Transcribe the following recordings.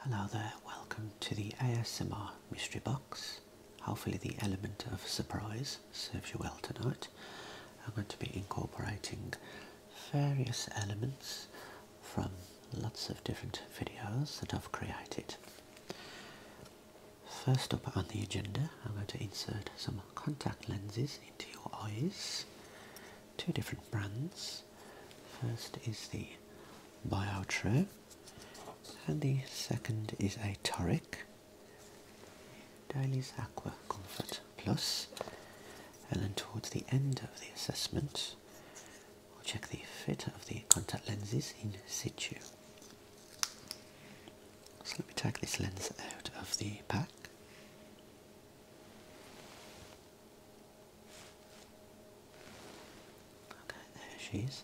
Hello there, welcome to the ASMR Mystery Box. Hopefully the element of surprise serves you well tonight. I'm going to be incorporating various elements from lots of different videos that I've created. First up on the agenda, I'm going to insert some contact lenses into your eyes two different brands. First is the Biotro, and the second is a Toric Dailies Aqua Comfort Plus. And then towards the end of the assessment, we'll check the fit of the contact lenses in situ. So let me take this lens out of the pack. Okay, there she is.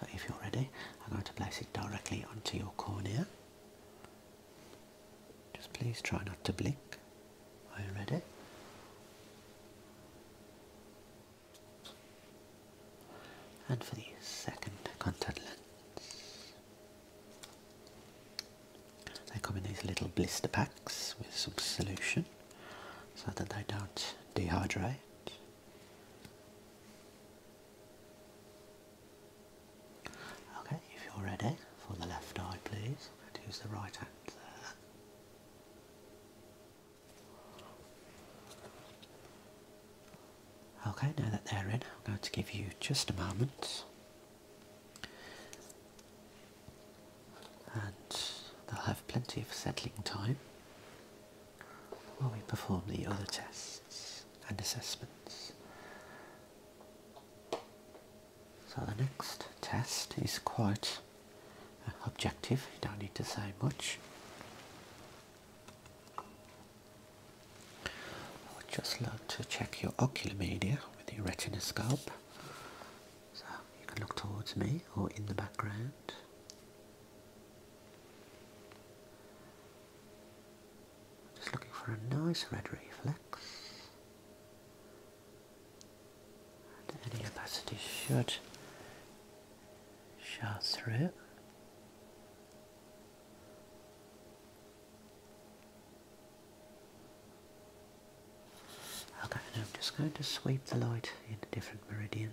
So if you're ready, I'm going to place it directly onto your cornea. Just please try not to blink. Are you ready? And for the second contact lens, they come in these little blister packs with some solution so that they don't dehydrate. Okay, if you're ready for the left eye, please. I'm going to use the right hand there. Okay, now that they're in, I'm going to give you just a moment and they'll have plenty of settling time while we perform the other tests and assessments. So the next test is quite uh, objective, you don't need to say much. I would just like to check your ocular media with the retinoscope so you can look towards me or in the background. Just looking for a nice red reflex. And any opacity should show through. Okay, I'm just going to sweep the light in a different meridian.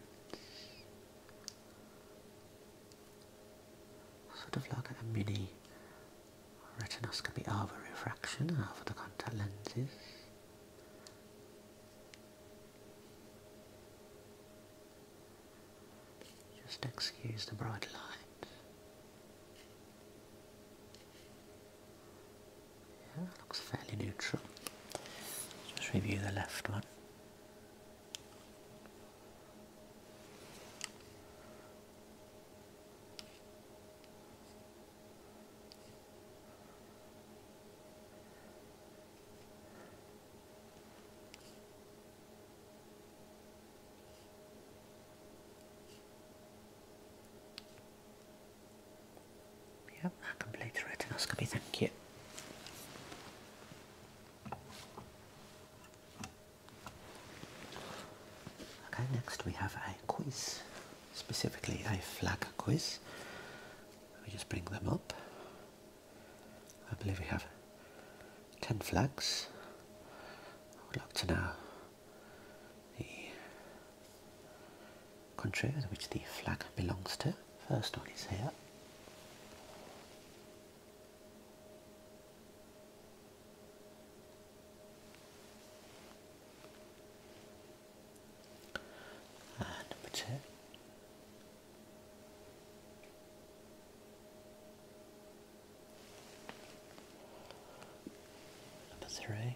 Sort of like a mini retinoscopy over refraction over the contact lenses. Just excuse the bright light. Yeah, looks fairly neutral. Just review the left one. Yep, a complete retinoscopy, thank you. Okay, next we have a quiz, specifically a flag quiz. Let me just bring them up. I believe we have 10 flags. I would like to know the countries which the flag belongs to. First one is here. number two. Number three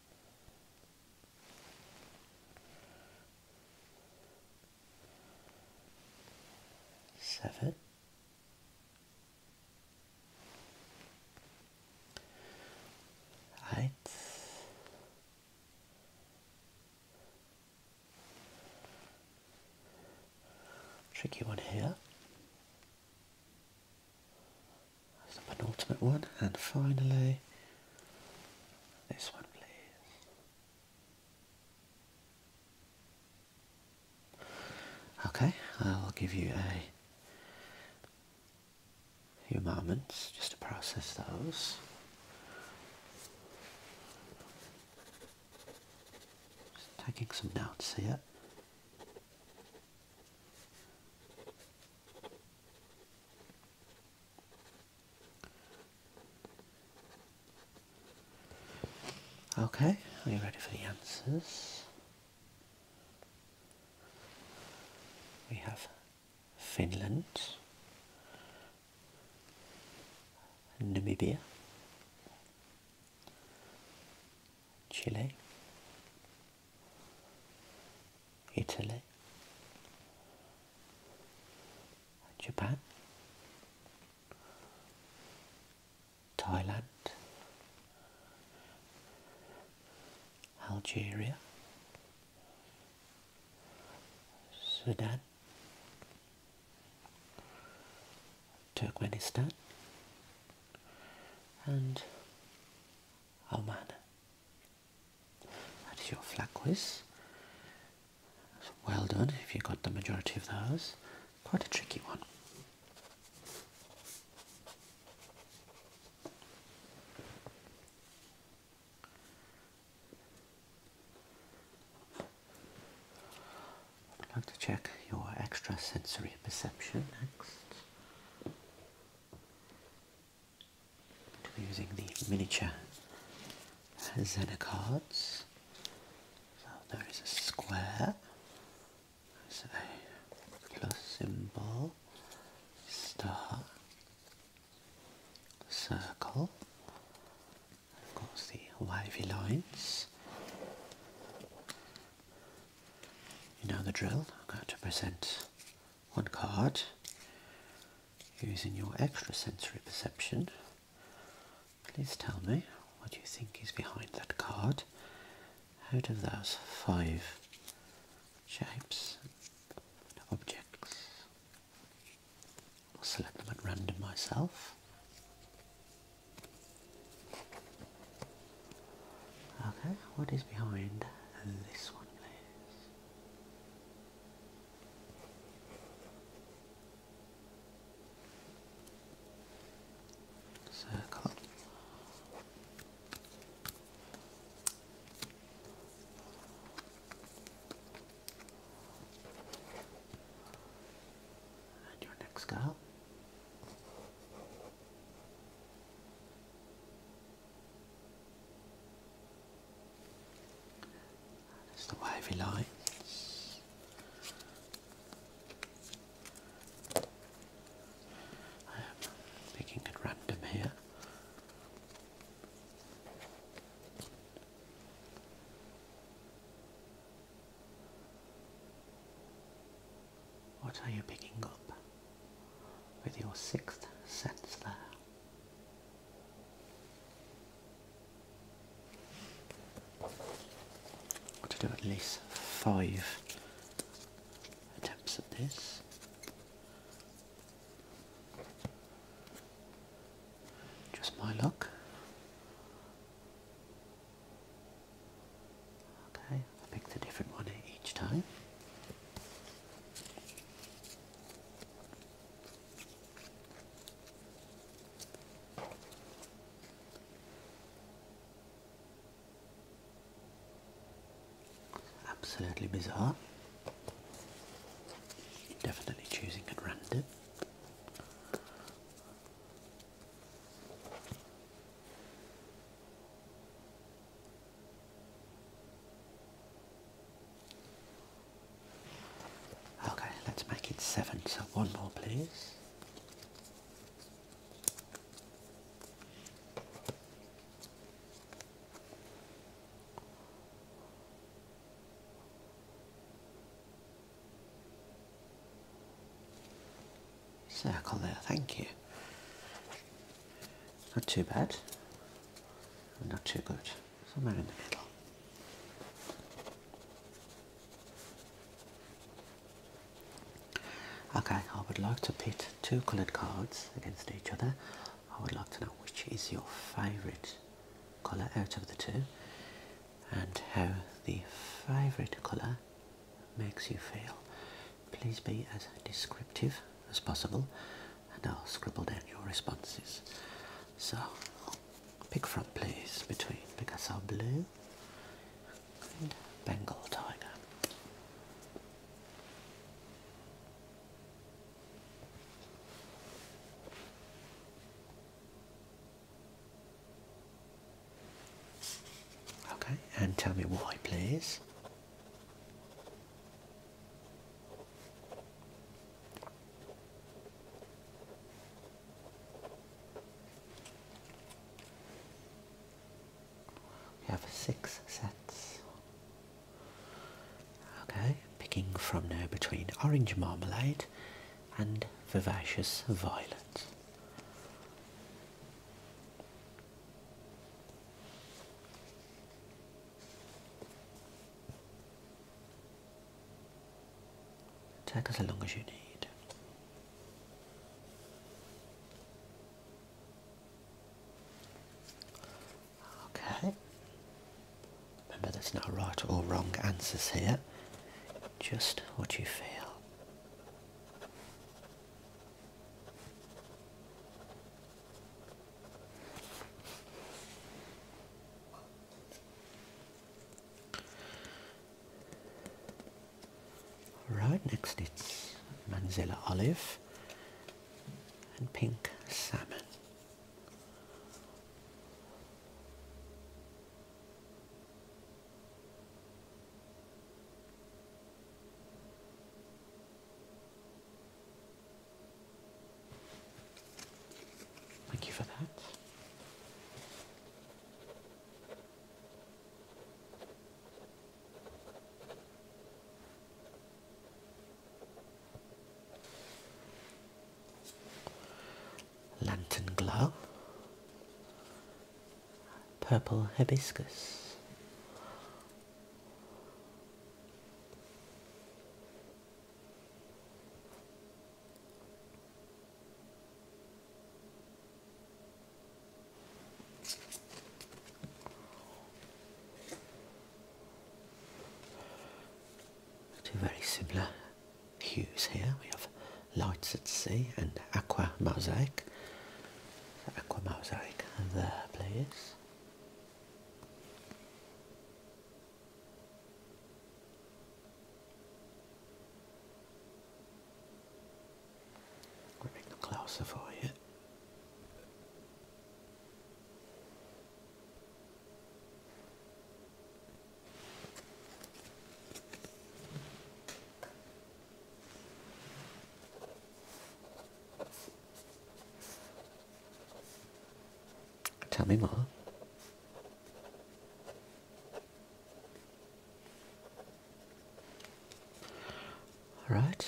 seven, eight, tricky one here. That's the one, and finally this one, please. Okay, I will give you a few moments just to process those. taking some notes here. Okay, are you ready for the answers? We have Finland, Namibia, Chile, Italy, Japan, Thailand, Algeria, Sudan, Turkmenistan, and Oman. That is your flat quiz. well done if you got the majority of those. Quite a tricky one. I'd like to check your extrasensory perception next. I'm using the miniature Zena cards. So there is a square, a plus symbol, star, circle, of course the wavy lines. You know the drill, I'm going to present one card using your extrasensory perception. Please tell me what you think is behind that card out of those five shapes and objects. I'll select them at random myself. Okay, what is behind this one please? Circle. And your next girl. That's the wavy lines. I am picking at random here. What are you picking up with your sixth sense there? Got to do at least five attempts at this. Just my luck. Okay, I picked a different one each time. Absolutely bizarre. Definitely choosing at random. Okay, let's make it seven, so one more please. Circle there, thank you. Not too bad, not too good. Okay, I would like to pit two coloured cards against each other. I would like to know which is your favourite colour out of the two and how the favourite colour makes you feel. Please be as descriptive as possible, and I'll scribble down your responses. So, pick from please between Picasso Blue and Bengal Tiger. Okay, and tell me why, please. We have six sets. Okay, picking from now between orange marmalade and vivacious violet. Take as long as you need. Okay. Remember, there's no right or wrong answers here, just what you feel. Right next it's Manzella olive and pink salmon. Thank you for that. Lantern Glow, Purple Hibiscus, Two very similar hues here. We have lights at sea and aqua mosaic. Aqua mosaic there, please. We Getting closer for you. Tell me more. All right.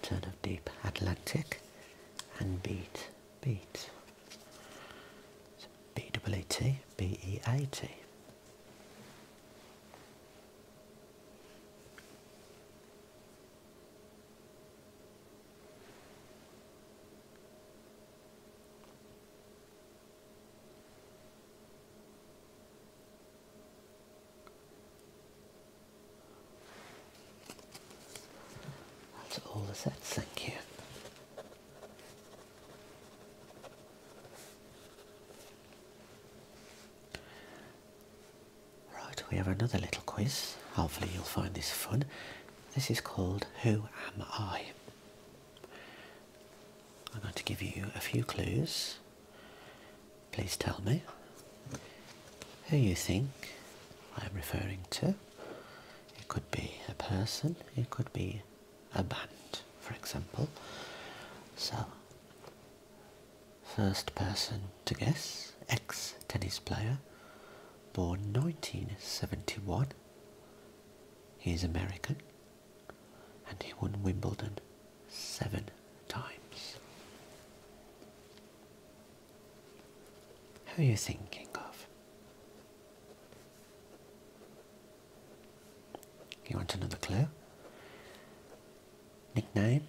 Turn of deep Atlantic and beat, beat. So B double E T, B E A T. That's all the thank you. Right, we have another little quiz. Hopefully you'll find this fun. This is called Who Am I? I'm going to give you a few clues. Please tell me who you think I am referring to. It could be a person, it could be a band, for example. So, First person to guess, ex tennis player, born 1971. He is American and he won Wimbledon seven times. Who are you thinking of? You want another clue? Nickname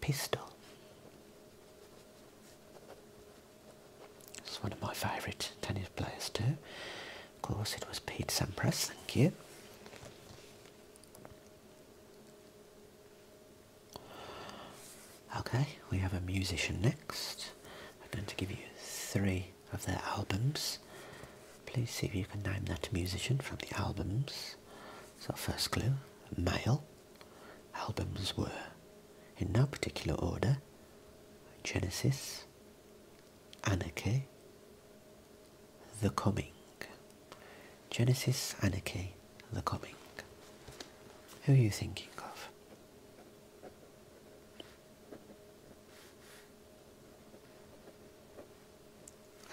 pistol. It's one of my favourite tennis players too. Of course it was Pete Sampras, thank you. Okay, we have a musician next. I'm going to give you three of their albums. Please see if you can name that musician from the albums. So first clue, male albums were, in no particular order, Genesis, Anarchy, The Coming. Genesis, Anarchy, The Coming. Who are you thinking of?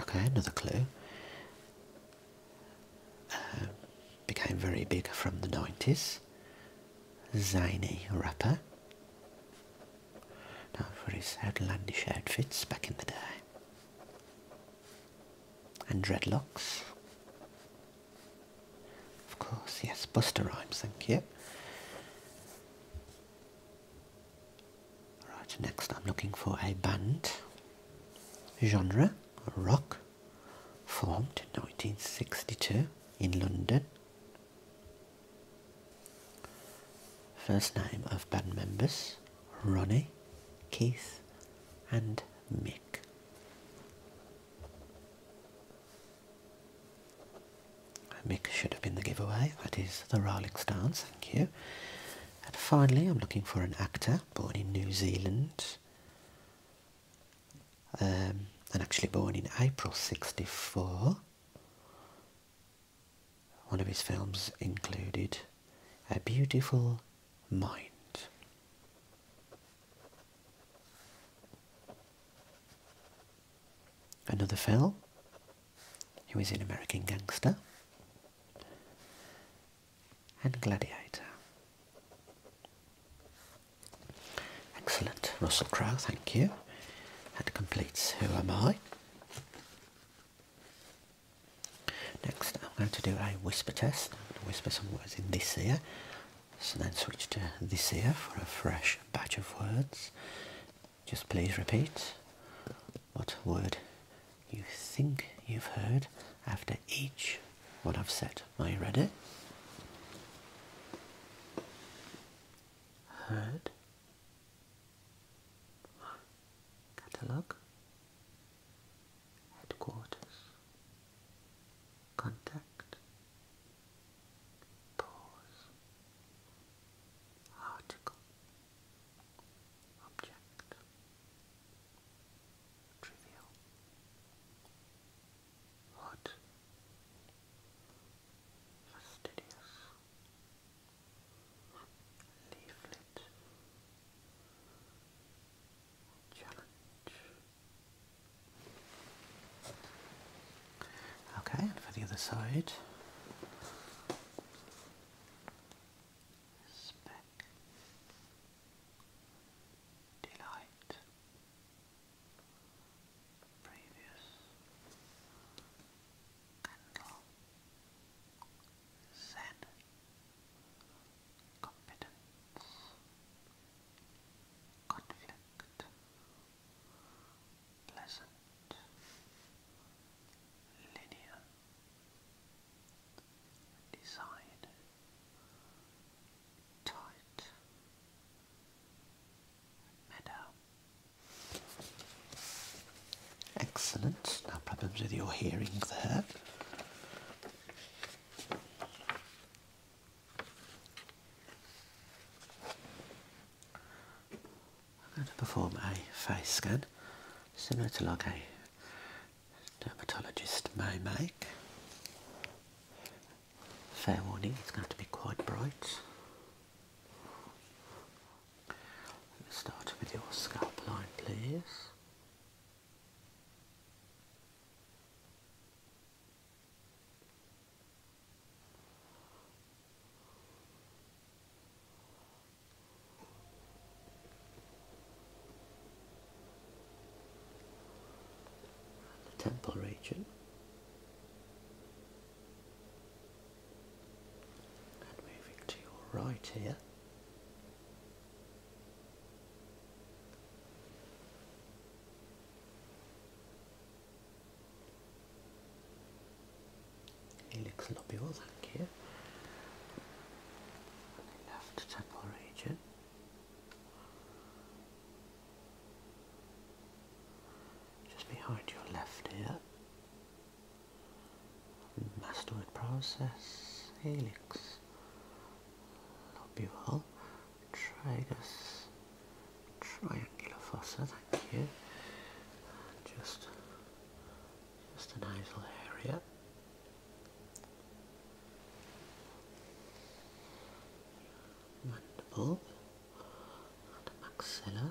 Okay, another clue. Uh, became very big from the 90s. Zany rapper. Now for his outlandish outfits back in the day. And dreadlocks. Of course, yes, Buster Rhymes, thank you. Right, next I'm looking for a band. Genre, rock formed in 1962 in London. First name of band members Ronnie, Keith and Mick. Mick should have been the giveaway, that is the Rolling Stones, thank you. And finally I'm looking for an actor born in New Zealand um, and actually born in April 64. One of his films included A Beautiful Mind. Another film, he was in American Gangster and Gladiator. Excellent, Russell Crowe, thank you. That completes Who Am I. Next, I'm going to do a whisper test. I'm going to whisper some words in this ear, so then switch to this ear for a fresh batch of words. Just please repeat what word you think you've heard after each what I've said. Are you ready? Heard. Catalogue. Headquarters. Contact. Pause. Article. Object trivial. Hot, fastidious, leaflet, challenge. Okay, for the other side. Speck, delight, previous candle, zen, competence, conflict, pleasant, linear, decide tight meadow. Excellent. No problems with your hearing there. I'm going to perform a face scan similar to like a dermatologist may make. Fair warning, it's going to be quite bright. Let me start with your scalp line, please the temple region and moving to your right here Helix thank you. left temple region. Just behind your left ear. Mastoid process, helix, lobule, tragus, triangular fossa, thank you. Just, just a little area mandible and maxilla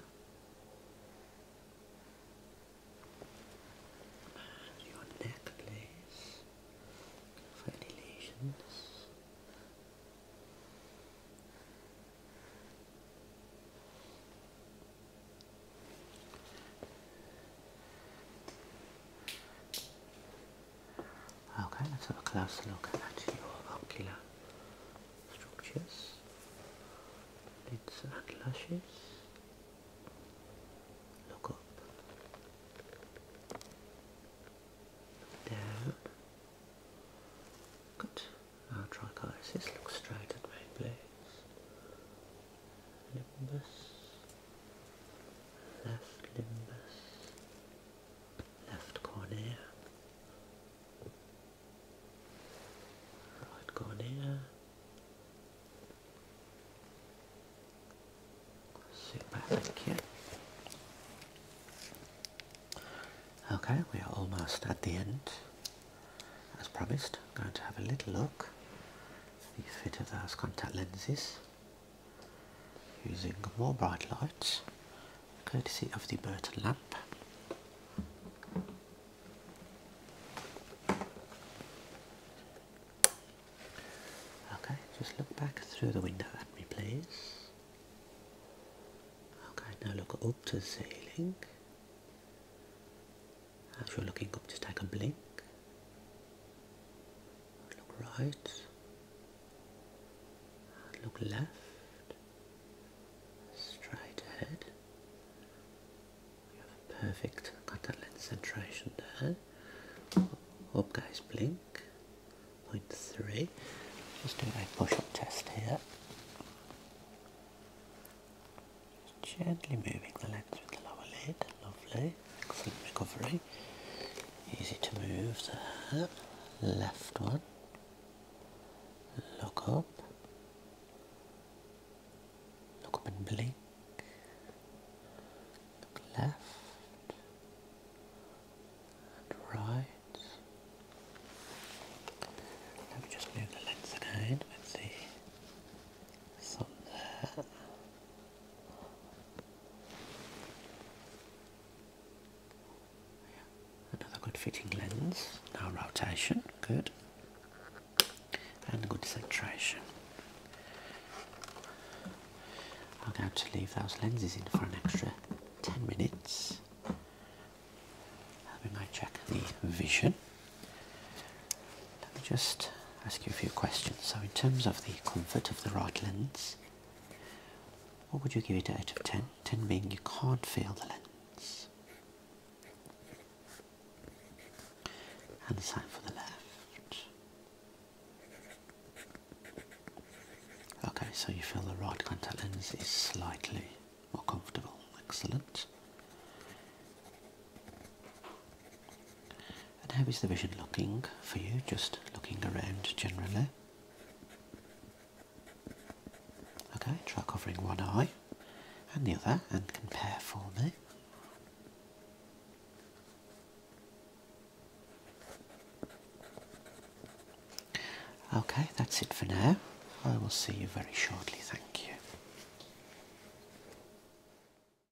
your neck please Okay, let's have a closer look at your ocular structures, lids and lashes. Look up, look down. Good. Now trichosis. Look straight at my place. Limbus left limbus, left cornea, right cornea, superfic Okay, we are almost at the end. As promised, I'm going to have a little look at the fit of those contact lenses using more bright lights courtesy of the Burton lamp. Okay, just look back through the window at me please. Okay, now look up to the ceiling. As you're looking up, just take a blink look right, look left, straight ahead. You have a perfect contact lens centration there. Up guys blink, point three. Just doing a push-up test here. Just gently moving the lens with the lower lid, lovely excellent Easy to move the Left one. Look up. Look up and blink. Look left and right. Let me just move the length again with the sun there. Another good fitting lens. Now rotation, good. And good centration. I'm going to leave those lenses in for an extra 10 minutes. We might check the vision. Let me just ask you a few questions. So, in terms of the comfort of the right lens, what would you give it out of 10? 10 being you can't feel the lens. And the sign for the left. Okay, so you feel the right contact lens is slightly more comfortable. Excellent. And how is the vision looking for you? Just looking around generally. Okay, try covering one eye and the other and compare for me. Okay, that's it for now. I will see you very shortly, thank you.